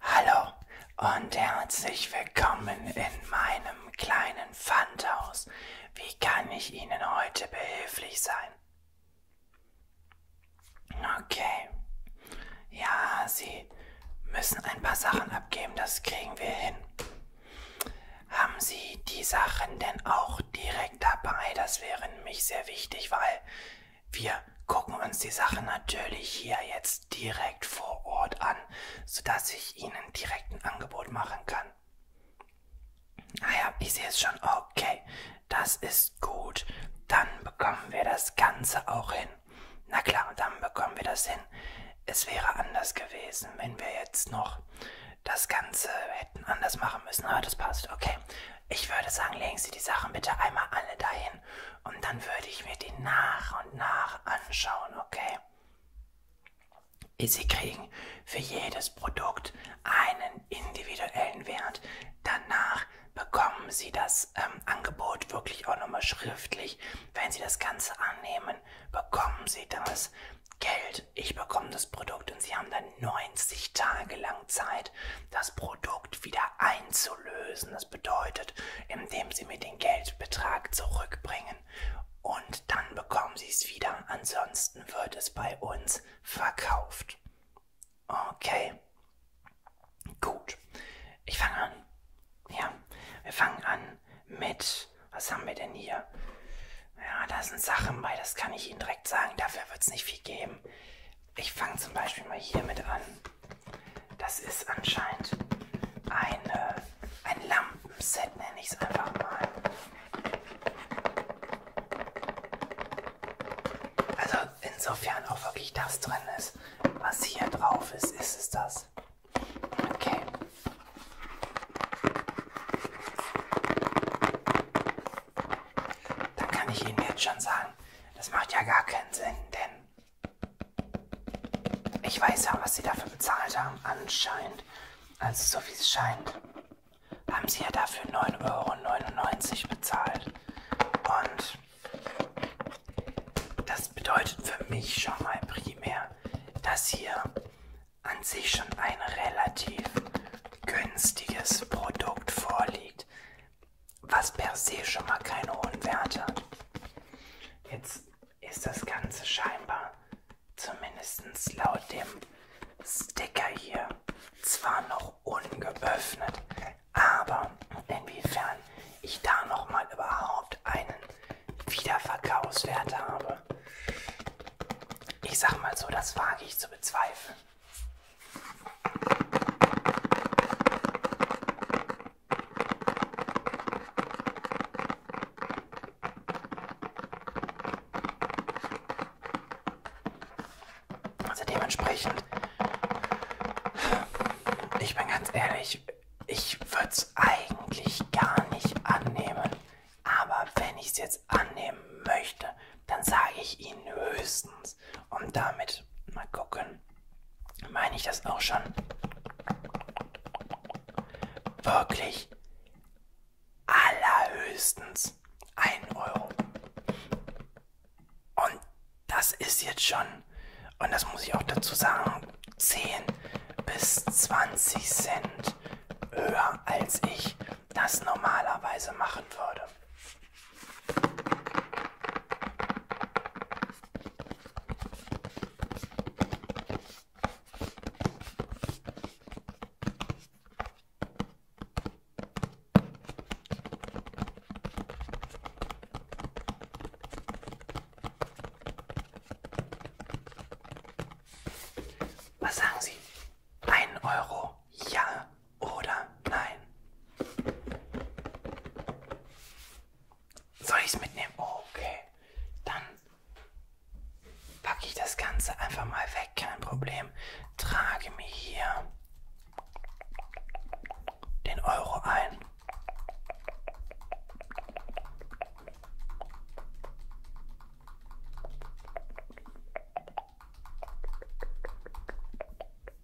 Hallo und herzlich willkommen in meinem kleinen Pfandhaus. Wie kann ich Ihnen heute behilflich sein? Okay. Ja, Sie müssen ein paar Sachen abgeben, das kriegen wir hin. Haben Sie die Sachen denn auch direkt dabei? Das wäre nämlich sehr wichtig, weil wir gucken uns die Sache natürlich hier jetzt direkt vor Ort an, sodass ich Ihnen direkt ein Angebot machen kann. Naja, ich sehe es schon. Okay, das ist gut. Dann bekommen wir das Ganze auch hin. Na klar, dann bekommen wir das hin. Es wäre anders gewesen, wenn wir jetzt noch das Ganze hätten anders machen müssen. Aber ah, das passt. Okay. Ich würde sagen, legen Sie die Sachen bitte einmal alle dahin gehen und dann würde ich mir die nach und nach anschauen, okay? Sie kriegen für jedes Produkt einen individuellen Wert. Danach bekommen Sie das ähm, Angebot wirklich auch nochmal schriftlich. Wenn Sie das Ganze annehmen, bekommen Sie das Geld. Ich bekomme das Produkt und Sie haben dann 90 Tage lang Zeit, das Produkt wieder einzulösen das bedeutet, indem Sie mir den Geldbetrag zurückbringen und dann bekommen Sie es wieder. Ansonsten wird es bei uns verkauft. Okay. Gut. Ich fange an. Ja, wir fangen an mit. Was haben wir denn hier? Ja, da sind Sachen bei, das kann ich Ihnen direkt sagen. Dafür wird es nicht viel geben. Ich fange zum Beispiel mal hier mit an. Das ist anscheinend eine, ein Lampenset, nenne ich es einfach mal. Also insofern auch wirklich das drin ist, was hier drauf ist, ist es das. Okay. Dann kann ich Ihnen jetzt schon sagen, das macht ja gar keinen Sinn, denn ich weiß ja, was Sie dafür bezahlt haben, anscheinend. Also so wie es scheint. Haben Sie ja dafür 9,99 Euro bezahlt. Und das bedeutet für mich schon mal primär, dass hier an sich schon ein relativ günstiges Produkt vorliegt was per se schon mal keine hohen Werte hat. Jetzt ist das Ganze scheinbar, zumindest laut dem Sticker hier, zwar noch ungeöffnet, aber inwiefern ich da nochmal überhaupt einen Wiederverkaufswert habe, ich sag mal so, das wage ich zu bezweifeln. Also dementsprechend, ich bin ganz ehrlich, ich würde es eigentlich gar nicht annehmen. Aber wenn ich es jetzt annehmen möchte, dann sage ich Ihnen höchstens, ist. Und damit mal gucken, meine ich das auch schon wirklich allerhöchstens 1 Euro. Und das ist jetzt schon, und das muss ich auch dazu sagen, 10 bis 20 Cent höher, als ich das normalerweise machen würde. Was sagen Sie? Ein Euro, ja oder nein? Soll ich es mitnehmen? Oh, okay. Dann packe ich das Ganze einfach mal weg, kein Problem. Trage mir hier den Euro ein.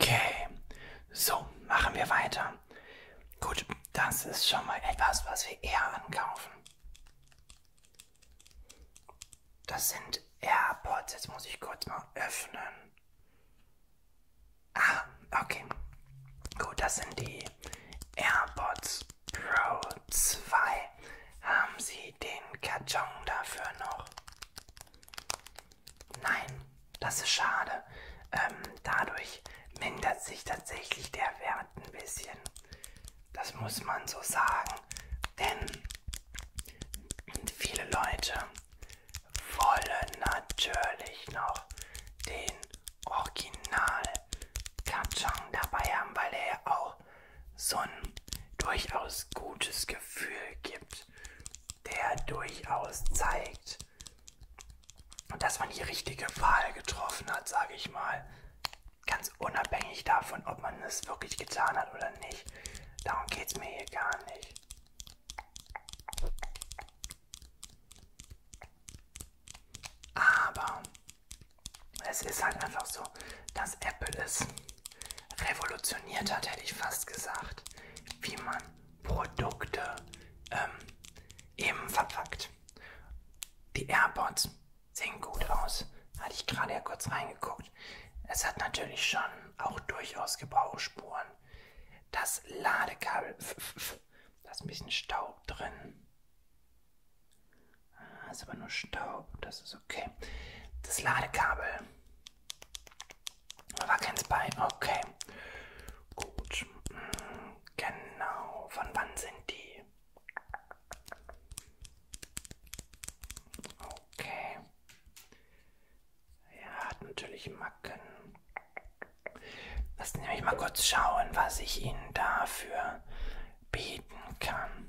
Okay, so machen wir weiter. Gut, das ist schon mal etwas, was wir eher ankaufen. Das sind AirPods. Jetzt muss ich kurz mal öffnen. Ah, okay. Gut, das sind die AirPods Pro 2. Haben Sie den Karton dafür noch? Nein, das ist schade. Ähm, dadurch mindert sich tatsächlich der Wert ein bisschen. Das muss man so sagen. Denn viele Leute wollen natürlich noch den Original Kachang dabei haben, weil er ja auch so ein durchaus gutes Gefühl gibt, der durchaus zeigt, dass man die richtige Wahl getroffen hat, sage ich mal. Ganz unabhängig davon, ob man es wirklich getan hat oder nicht. Darum geht es mir hier gar nicht. Aber es ist halt einfach so, dass Apple es revolutioniert hat, hätte ich fast gesagt, wie man Produkte ähm, eben verpackt. Die AirPods sehen gut aus, hatte ich gerade ja kurz reingeguckt. Es hat natürlich schon auch durchaus Gebrauchsspuren. Das Ladekabel, da ist ein bisschen Staub drin. Das ah, ist aber nur Staub, das ist Okay. Das Ladekabel. War keins bei. Okay. Gut. Genau. Von wann sind die? Okay. Ja, hat natürlich Macken. Lass nämlich mal kurz schauen, was ich Ihnen dafür bieten kann.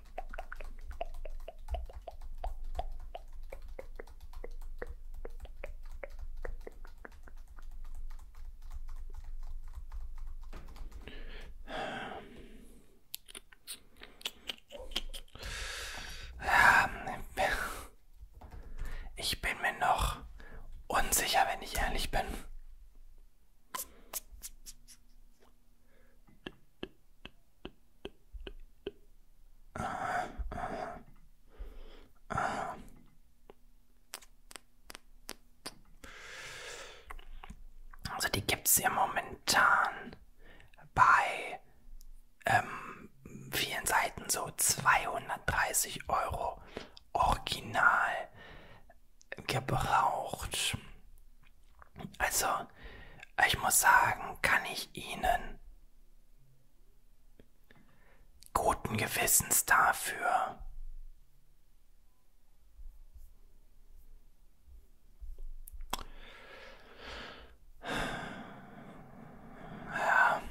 Ich bin mir noch unsicher, wenn ich ehrlich bin. Aha, aha, aha. Also die gibt es ja momentan bei ähm, vielen Seiten so 230 Euro original gebraucht. Also, ich muss sagen, kann ich Ihnen guten Gewissens dafür ja,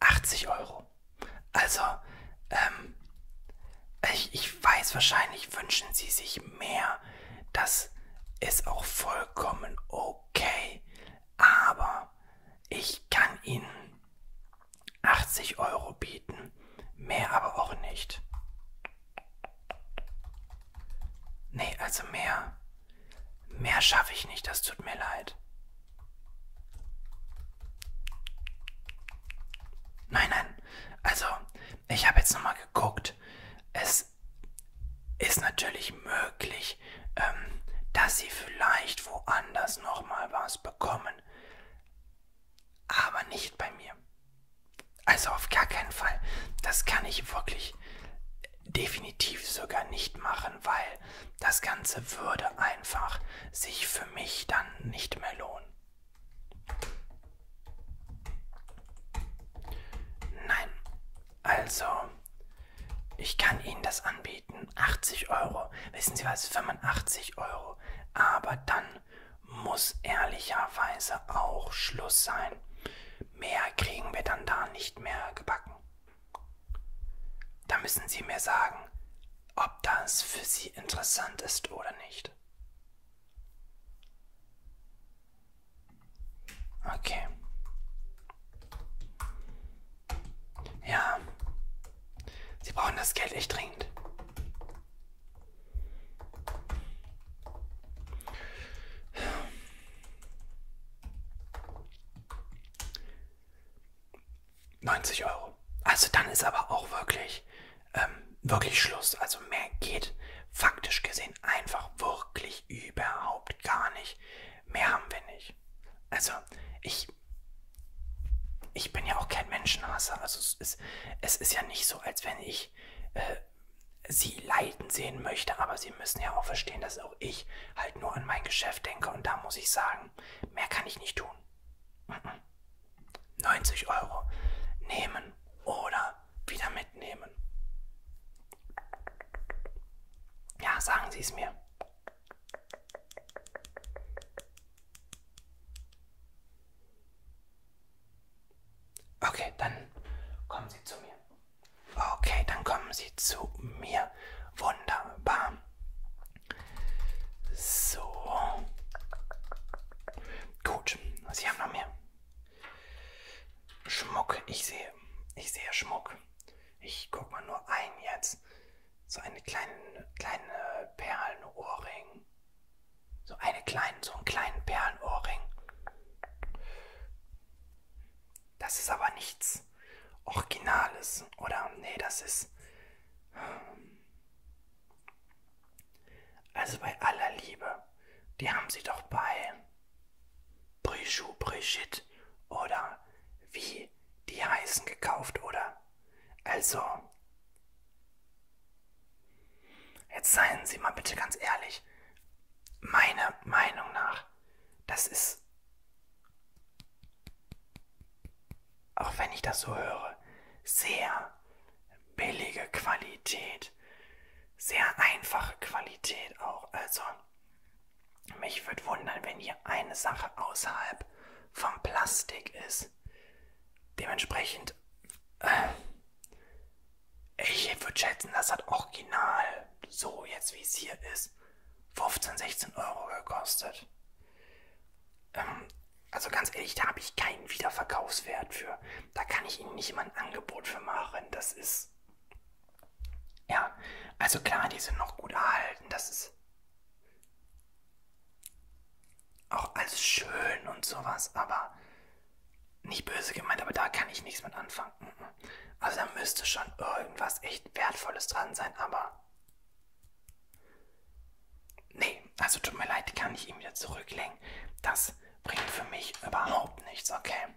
80 Euro. Also, ähm, ich, ich weiß, wahrscheinlich wünschen sie sich mehr. Das ist auch vollkommen okay. Aber ich kann ihnen 80 Euro bieten. Mehr aber auch nicht. Nee, also mehr. Mehr schaffe ich nicht, das tut mir leid. Nein, nein. Also, ich habe jetzt nochmal geguckt. Es ist natürlich möglich, ähm, dass sie vielleicht woanders nochmal was bekommen. Aber nicht bei mir. Also auf gar keinen Fall. Das kann ich wirklich definitiv sogar nicht machen, weil das Ganze würde einfach sich für mich dann nicht mehr lohnen. Nein, also, ich kann Ihnen das anbieten. 80 Euro. Wissen Sie was? 85 Euro. Aber dann muss ehrlicherweise auch Schluss sein. Mehr kriegen wir dann da nicht mehr gebacken. Da müssen Sie mir sagen, ob das für Sie interessant ist oder nicht. Okay. Ja. Sie brauchen das Geld echt dringend. Neunzig Euro. Also dann ist aber auch wirklich ähm, wirklich Schluss. Also mehr geht faktisch gesehen einfach wirklich überhaupt gar nicht. Mehr haben wir nicht. Also ich, ich bin ja auch kein Menschenhasser. Also es ist, es ist ja nicht so, als wenn ich äh, sie leiden sehen möchte. Aber sie müssen ja auch verstehen, dass auch ich halt nur an mein Geschäft denke. Und da muss ich sagen, mehr kann ich nicht tun. Mm -mm. 90 Euro nehmen oder wieder mitnehmen. Ja, sagen Sie es mir. Okay, dann kommen Sie zu mir. Okay, dann kommen Sie zu mir. Wunderbar. So. Gut, Sie haben noch mehr. Schmuck, ich sehe, ich sehe Schmuck. Ich guck mal nur ein jetzt. So eine kleine, kleine Perlenohrring. So eine kleine, so einen kleinen Perlenohrring. Das ist aber nichts Originales, oder? Nee, das ist. Hm. Also bei aller Liebe, die haben sie doch bei Brichou, Brigitte oder wie die heißen gekauft, oder? Also, jetzt seien Sie mal bitte ganz ehrlich, meiner Meinung nach, das ist, auch wenn ich das so höre, sehr billige Qualität, sehr einfache Qualität auch. Also, mich würde wundern, wenn hier eine Sache außerhalb vom Plastik ist. Dementsprechend, äh, ich würde schätzen, das hat original, so jetzt wie es hier ist, 15, 16 Euro gekostet. Ähm, also ganz ehrlich, da habe ich keinen Wiederverkaufswert für. Da kann ich Ihnen nicht mal ein Angebot für machen. Das ist. Ja, also klar, die sind noch gut erhalten. Das ist auch alles schön und sowas, aber nicht böse gemeint, aber da kann ich nichts mit anfangen. Mm, mm. Also da müsste schon irgendwas echt Wertvolles dran sein, aber Nee, also tut mir leid, kann ich ihn wieder zurücklegen. Das bringt für mich überhaupt nichts, okay?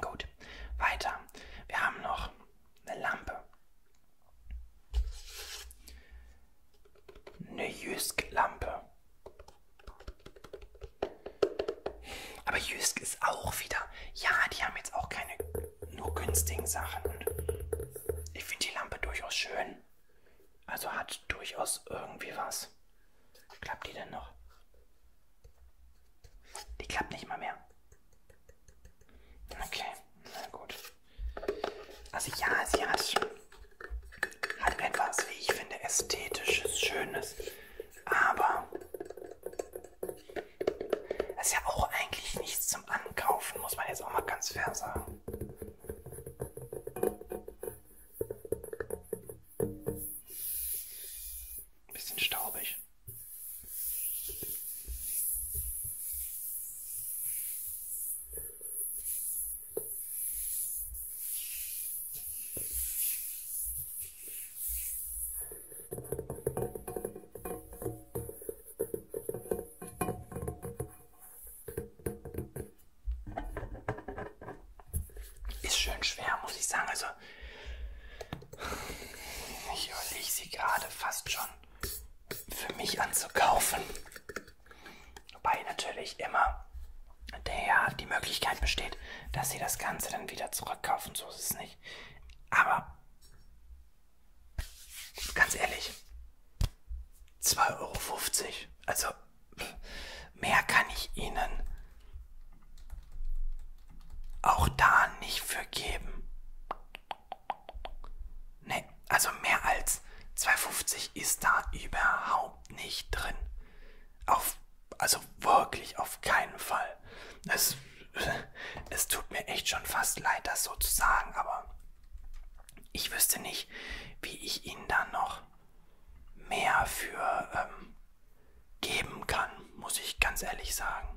Gut, weiter. Wir haben noch eine Lampe. Eine Jysk-Lampe. Aber Jysk ist auch wieder. Ja, die haben jetzt auch keine nur günstigen Sachen. Ich finde die Lampe durchaus schön. Also hat durchaus irgendwie was. Klappt die denn noch? Die klappt nicht mal mehr. Okay, na gut. Also ja, sie hat, hat etwas, wie ich finde, ästhetisches, schönes. Aber das ist ja auch eigentlich nichts zum Ankaufen, muss man jetzt auch mal ganz fair sagen. Bisschen staubig. Ist schön schwer, muss ich sagen. Also, ich überlege sie gerade fast schon für mich anzukaufen. Wobei natürlich immer der, die Möglichkeit besteht, dass sie das Ganze dann wieder zurückkaufen. So ist es nicht. Aber ganz ehrlich, 2,50 Euro. Also mehr kann ich Ihnen auch da nicht für geben. Ne, also mehr als 2,50 ist da überhaupt nicht drin. Auf, also wirklich auf keinen Fall. Es, es tut mir echt schon fast leid, das so zu sagen, aber ich wüsste nicht, wie ich ihnen dann noch mehr für ähm, geben kann, muss ich ganz ehrlich sagen.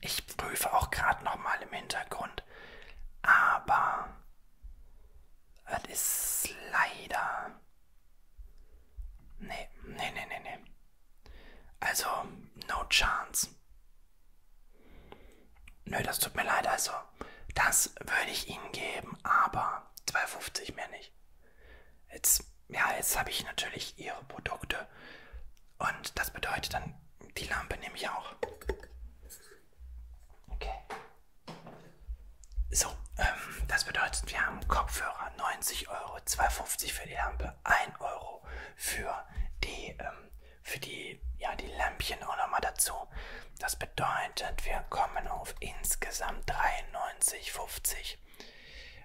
Ich prüfe auch gerade noch mal im Hintergrund, aber es ist leider Nee, nee, nee, nee, nee. Also, no chance. Nö, das tut mir leid, also. Das würde ich Ihnen geben, aber 2,50 mehr nicht. Jetzt, ja, jetzt habe ich natürlich Ihre Produkte. Und das bedeutet dann, die Lampe nehme ich auch. Okay. So, ähm, das bedeutet, wir haben Kopfhörer 90 Euro, 2,50 für die Lampe, 1 Euro für die, ähm, für die, ja, die Lämpchen auch nochmal dazu. Das bedeutet, wir kommen auf insgesamt 93,50.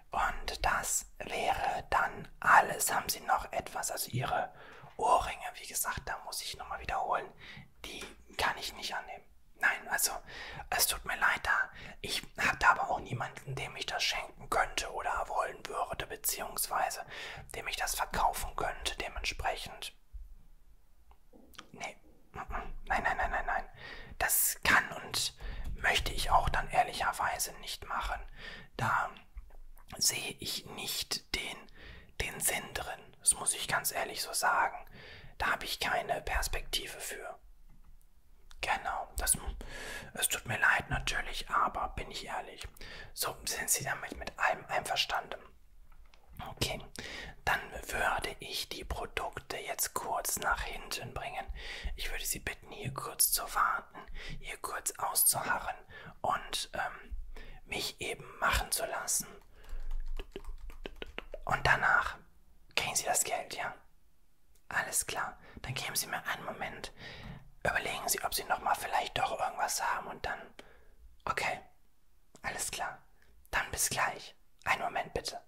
Und das wäre dann alles. Haben Sie noch etwas? Also Ihre Ohrringe, wie gesagt, da muss ich nochmal wiederholen die kann ich nicht annehmen. Nein, also es tut mir leid da. Ich habe da aber auch niemanden, dem ich das schenken könnte oder wollen würde, beziehungsweise dem ich das verkaufen könnte, dementsprechend. Nee, nein, nein, nein, nein, nein. Das kann und möchte ich auch dann ehrlicherweise nicht machen. Da sehe ich nicht den, den Sinn drin. Das muss ich ganz ehrlich so sagen. Da habe ich keine Perspektive für. Genau, das, es tut mir leid natürlich, aber bin ich ehrlich. So sind Sie damit mit allem einverstanden. Okay, dann würde ich die Produkte jetzt kurz nach hinten bringen. Ich würde Sie bitten, hier kurz zu warten, hier kurz auszuharren und ähm, mich eben machen zu lassen. Und danach kriegen Sie das Geld, ja? Alles klar. Dann geben Sie mir einen Moment. Überlegen Sie, ob Sie nochmal vielleicht doch irgendwas haben und dann. Okay. Alles klar. Dann bis gleich. Einen Moment bitte.